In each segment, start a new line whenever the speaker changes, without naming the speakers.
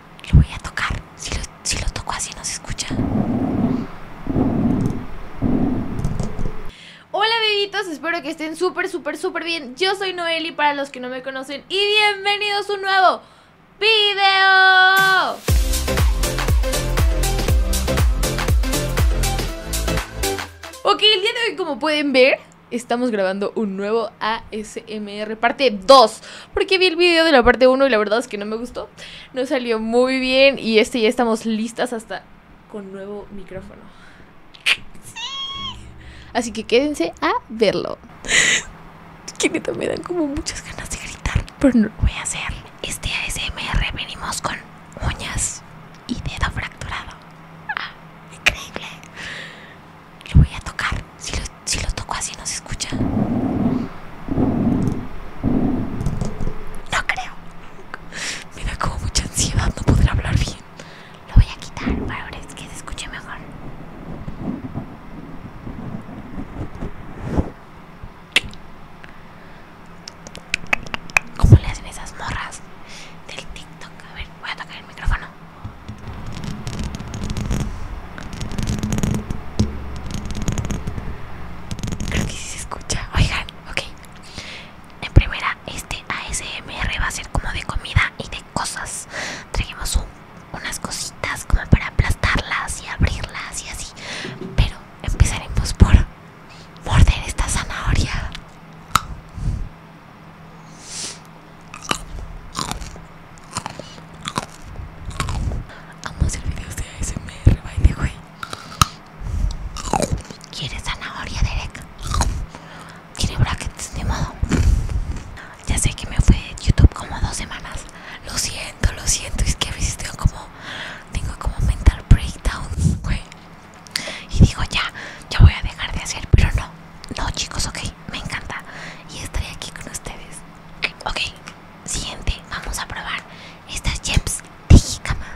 Lo voy a tocar. Si lo, toco así no se escucha.
Hola bebitos, espero que estén súper, súper, súper bien. Yo soy Noeli para los que no me conocen y bienvenidos a un nuevo video. Ok, el día de hoy como pueden ver, estamos grabando un nuevo ASMR parte 2. Porque vi el video de la parte 1 y la verdad es que no me gustó. No salió muy bien y este ya estamos listas hasta con nuevo micrófono. Así que quédense a verlo. Que me dan como muchas ganas de gritar, pero no lo voy a hacer. Este ASMR venimos con
uñas y dedo fracturado. Ah, increíble. Lo voy a tocar. Si lo, toco así no se escucha. No creo. Me da como mucha ansiedad no poder hablar bien. Lo voy a quitar para ver que se escuche mejor. ¿Cómo le hacen esas morras del TikTok? A ver, voy a tocar el micrófono. Creo que sí se escucha. Oigan, ok. En primera, este ASMR va a ser como de comida y de cosas. Trajimos unas cositas como para aplastarlas y abrirlas y así. Pero empezaremos por morder esta zanahoria. Amos el video de ASMR, baile, güey. ¿Quieres zanahoria, Derek? quieres brackets, de modo. Ya sé que me fue de YouTube como dos semanas. Lo siento, lo siento. Es que a veces tengo como, tengo como mental breakdown, güey. Y digo, ya, ya voy a dejar de hacer, pero no no chicos, ok, me encanta y estaré aquí con ustedes. Ok, siguiente, vamos a probar estas gems de jicama.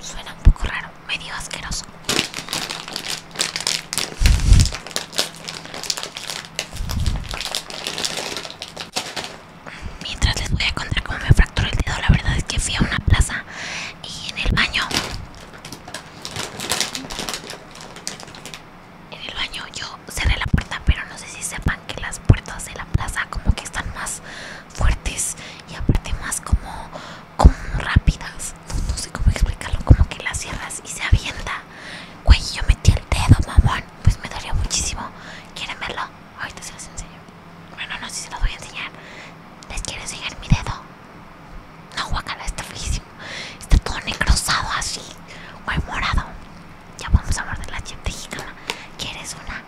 Suena un poco raro, medio asqueroso. Mientras les voy a contar cómo me fracturó el dedo, la verdad es que fui a una plaza y en el baño en el baño yo cerré la puerta, pero no sé si sepan que las puertas de la plaza como que están más fuertes y aparte más como, como rápidas. No, sé cómo explicarlo, como que las cierras y se avienta. Güey, yo metí el dedo, mamón. Pues me daría muchísimo. ¿Quieren verlo? Ahorita se los enseño. Bueno, no sé si se los voy a enseñar. Les quiero enseñar mi dedo. La guacala, está riquísimo Está todo negrosado así. guay morado. Ya vamos a de la gente ¿Quieres una?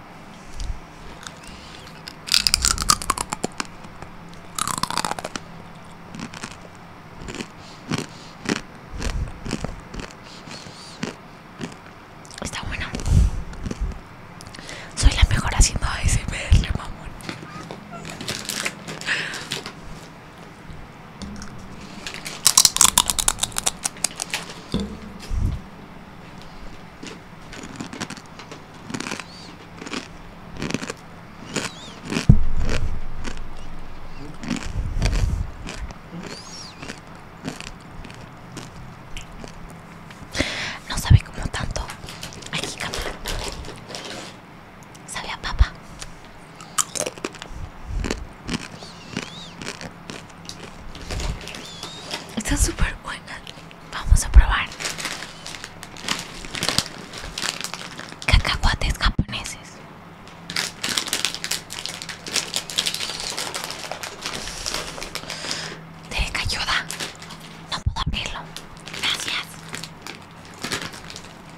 Está buena. Soy la mejor haciendo la mamón. No sabe como tanto Aquí, cámara. Sabe a papa. Está súper buena. Vamos a probar. Cacahuates japoneses. te ayuda. No puedo abrirlo. Gracias.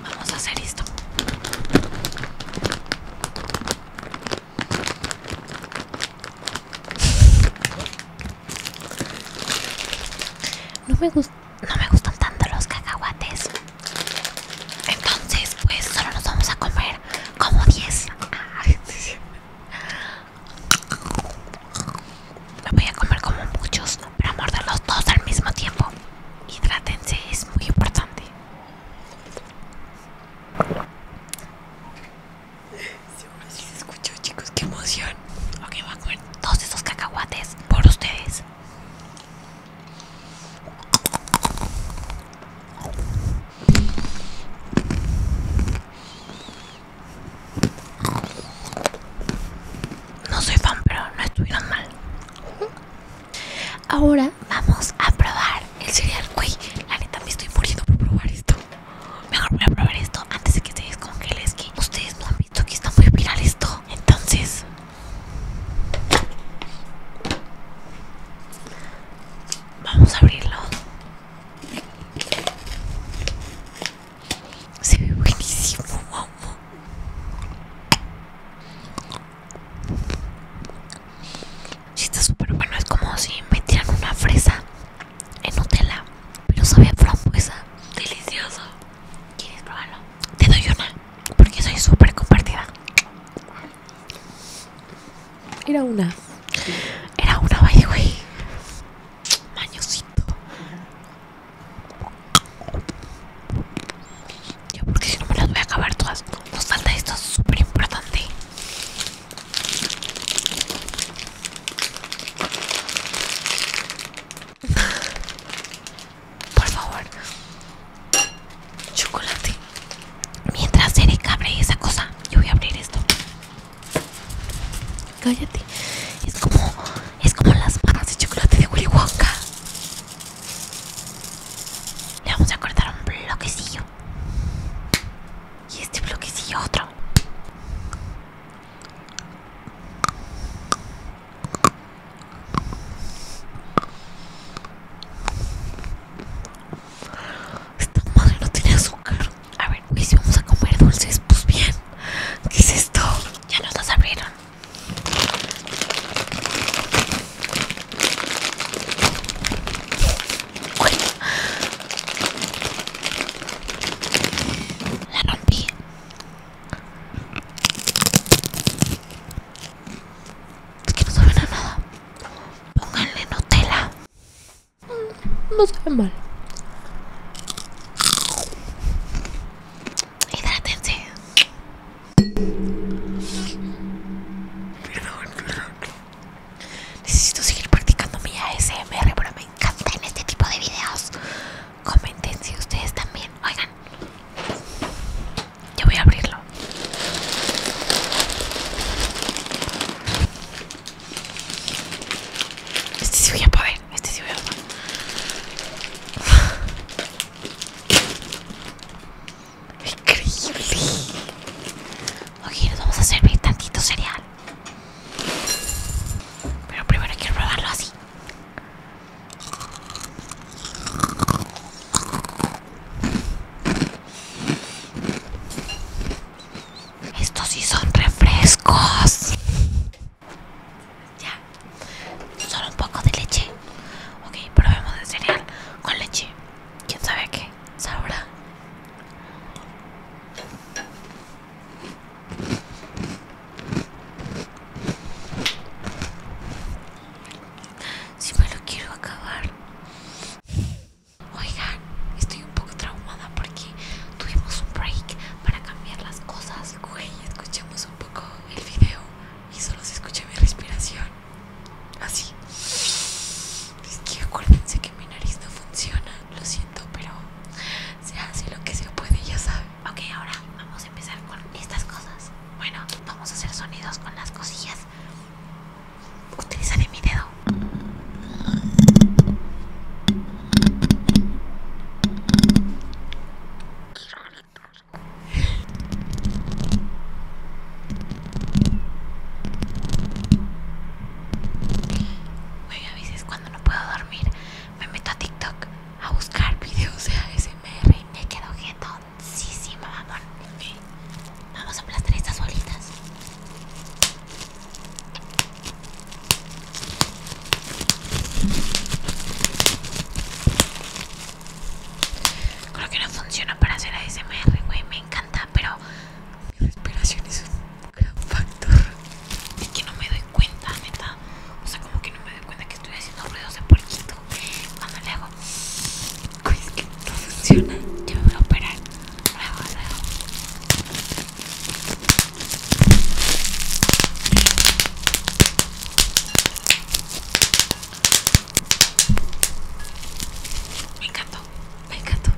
Vamos a hacer esto. No me, no me gustan tanto los cacahuates. Entonces, pues solo nos vamos a comer como 10. Lo voy a comer como muchos, pero morderlos todos al mismo tiempo. Hidrátense, es muy importante. si se escuchó, chicos, qué emoción. Ok, voy a comer todos esos cacahuates por ustedes. No soy fan, pero no estuvieron mal. Ahora vamos a probar el cereal. Uy, la neta me estoy muriendo por probar esto. Mejor voy a probar esto antes de que se descongele. Es que ustedes no han visto que está muy viral esto. Entonces. Vamos a abrirlo. Se ve buenísimo. Si está súper bueno, es como si metieran una fresa en Nutella, pero sabe a frambuesa. Delicioso. ¿Quieres probarlo? Te doy una, porque soy súper compartida.
Era una. Era una, by the mañosito.
Yo porque si no me las voy a acabar todas. Nos falta esto súper importante. Por favor. Chocolate. Mientras Erika abre esa cosa, yo voy a abrir esto. Cállate. Es como. Es como las barras de chocolate de Willy Wonka. Le vamos a cortar un bloquecillo. Y este bloquecillo otro. Esta madre no tiene azúcar. A ver, ¿qué si vamos a comer dulces, pues bien. ¿Qué es esto? Ya nos las abrieron.
La rompí. Es que no saben nada. Pónganle Nutella. No sabe mal. Hidrátense.
Necesito seguir practicando mi ASMR, pero me en este tipo de videos. Comenten si ustedes también. Oigan. Yo voy a abrirlo. Este sí voy a poder, este sí voy a poder. Increíble. Ok, nos vamos a servir tantito cereal. Pero primero quiero probarlo así. Estos sí son refrescos. Ya. Solo un poco de leche. Ok, probemos el cereal con leche. ¿Quién sabe qué? Sabrá. Si me lo quiero acabar. Oigan, estoy un poco traumada porque tuvimos un break para cambiar las cosas. Güey, escuchemos un poco el video y solo se escucha mi respiración. Así. Es que acuérdense que mi nariz no funciona. Lo siento, pero se hace lo que se puede, ya saben. Ok, ahora vamos a empezar con estas cosas. Bueno, vamos a hacer sonidos con las cosillas utilizaré mi dedo. a veces cuando no puedo dormir me meto a TikTok a buscar videos de ASMR y me quedo quieto Sí, sí, mamá Vamos a aplastar estas bolitas. Creo que no funciona para hacer ASMR, güey. Me encanta, pero mi respiración es un gran factor. Es que no me doy cuenta, neta. O sea, como que no me doy cuenta que estoy haciendo ruidos de porquito cuando le hago es que no funciona, yo me voy a operar. Me encantó, me encantó.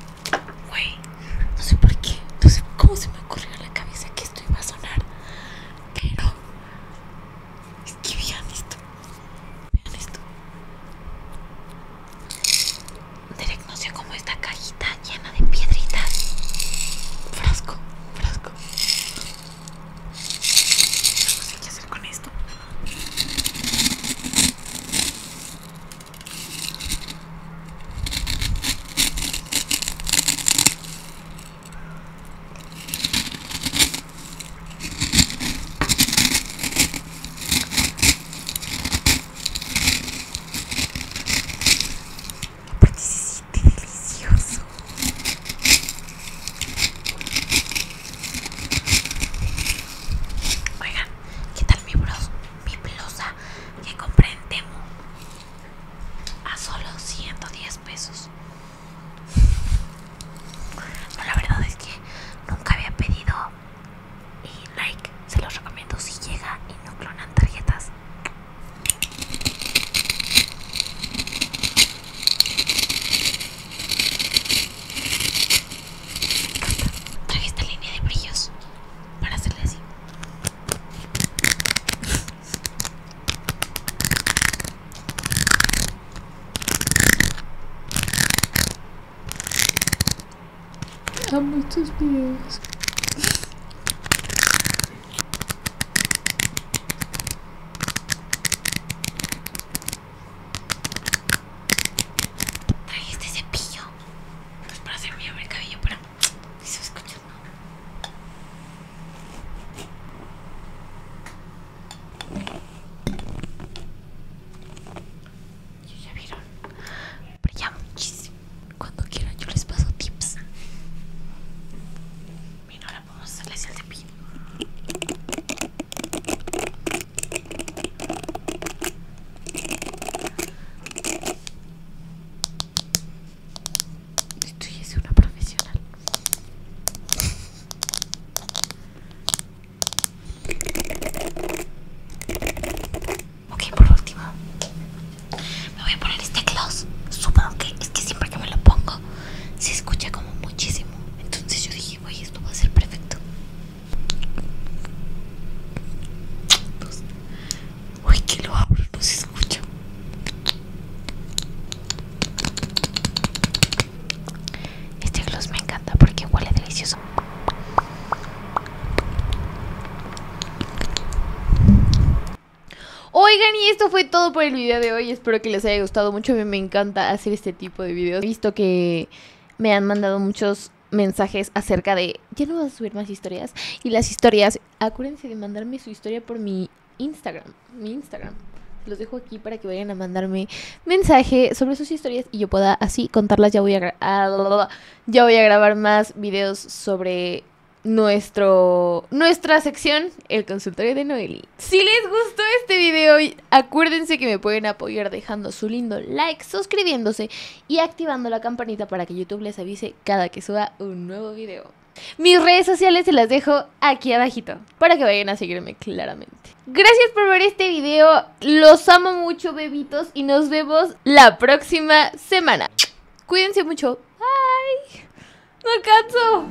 Güey, no sé por qué, no sé cómo se me ocurrió en la cabeza que esto iba a sonar. Pero es que bien esto. Vean esto. Derek sé como esta cajita llena de piedritas. Frasco, frasco. No sé qué hacer con esto. Qué se delicioso. Oigan, ¿qué tal mi blusa? Mi que compré en Temu a solo 110 pesos. No, la verdad es que nunca había pedido y eh, like, se los recomiendo si llega y no clonan tarjetas. Traje esta línea de brillos para hacerle
así. Hay muchos videos. Trae este cepillo. Pues para hacerme
el cabello, pero eso escucha. Ya vieron, brilla muchísimo. Cuando quieran, yo les paso tips. Bien, ahora podemos hacerles hacia el pino ya es una profesional. Ok, por último, me voy a poner este gloss. Supongo que es que siempre que me lo pongo se escucha como muchísimo. Entonces yo dije, ¡uy, esto va a ser perfecto. Uy, que lo abro, no este gloss me encanta porque huele delicioso
Oigan y esto fue todo por el video de hoy Espero que les haya gustado mucho A mí me encanta hacer este tipo de videos He visto que me han mandado muchos mensajes acerca de ya no vas a subir más historias y las historias acuérdense de mandarme su historia por mi Instagram, mi Instagram. Los dejo aquí para que vayan a mandarme mensaje sobre sus historias y yo pueda así contarlas. Ya voy a, ah, ya voy a grabar más videos sobre nuestro nuestra sección, el consultorio de Noeli. Si les gustó este video, acuérdense que me pueden apoyar dejando su lindo like, suscribiéndose y activando la campanita para que YouTube les avise cada que suba un nuevo video. Mis redes sociales se las dejo aquí abajito para que vayan a seguirme claramente. Gracias por ver este video. Los amo mucho, bebitos, y nos vemos la próxima semana. Cuídense mucho. Bye. No alcanzo.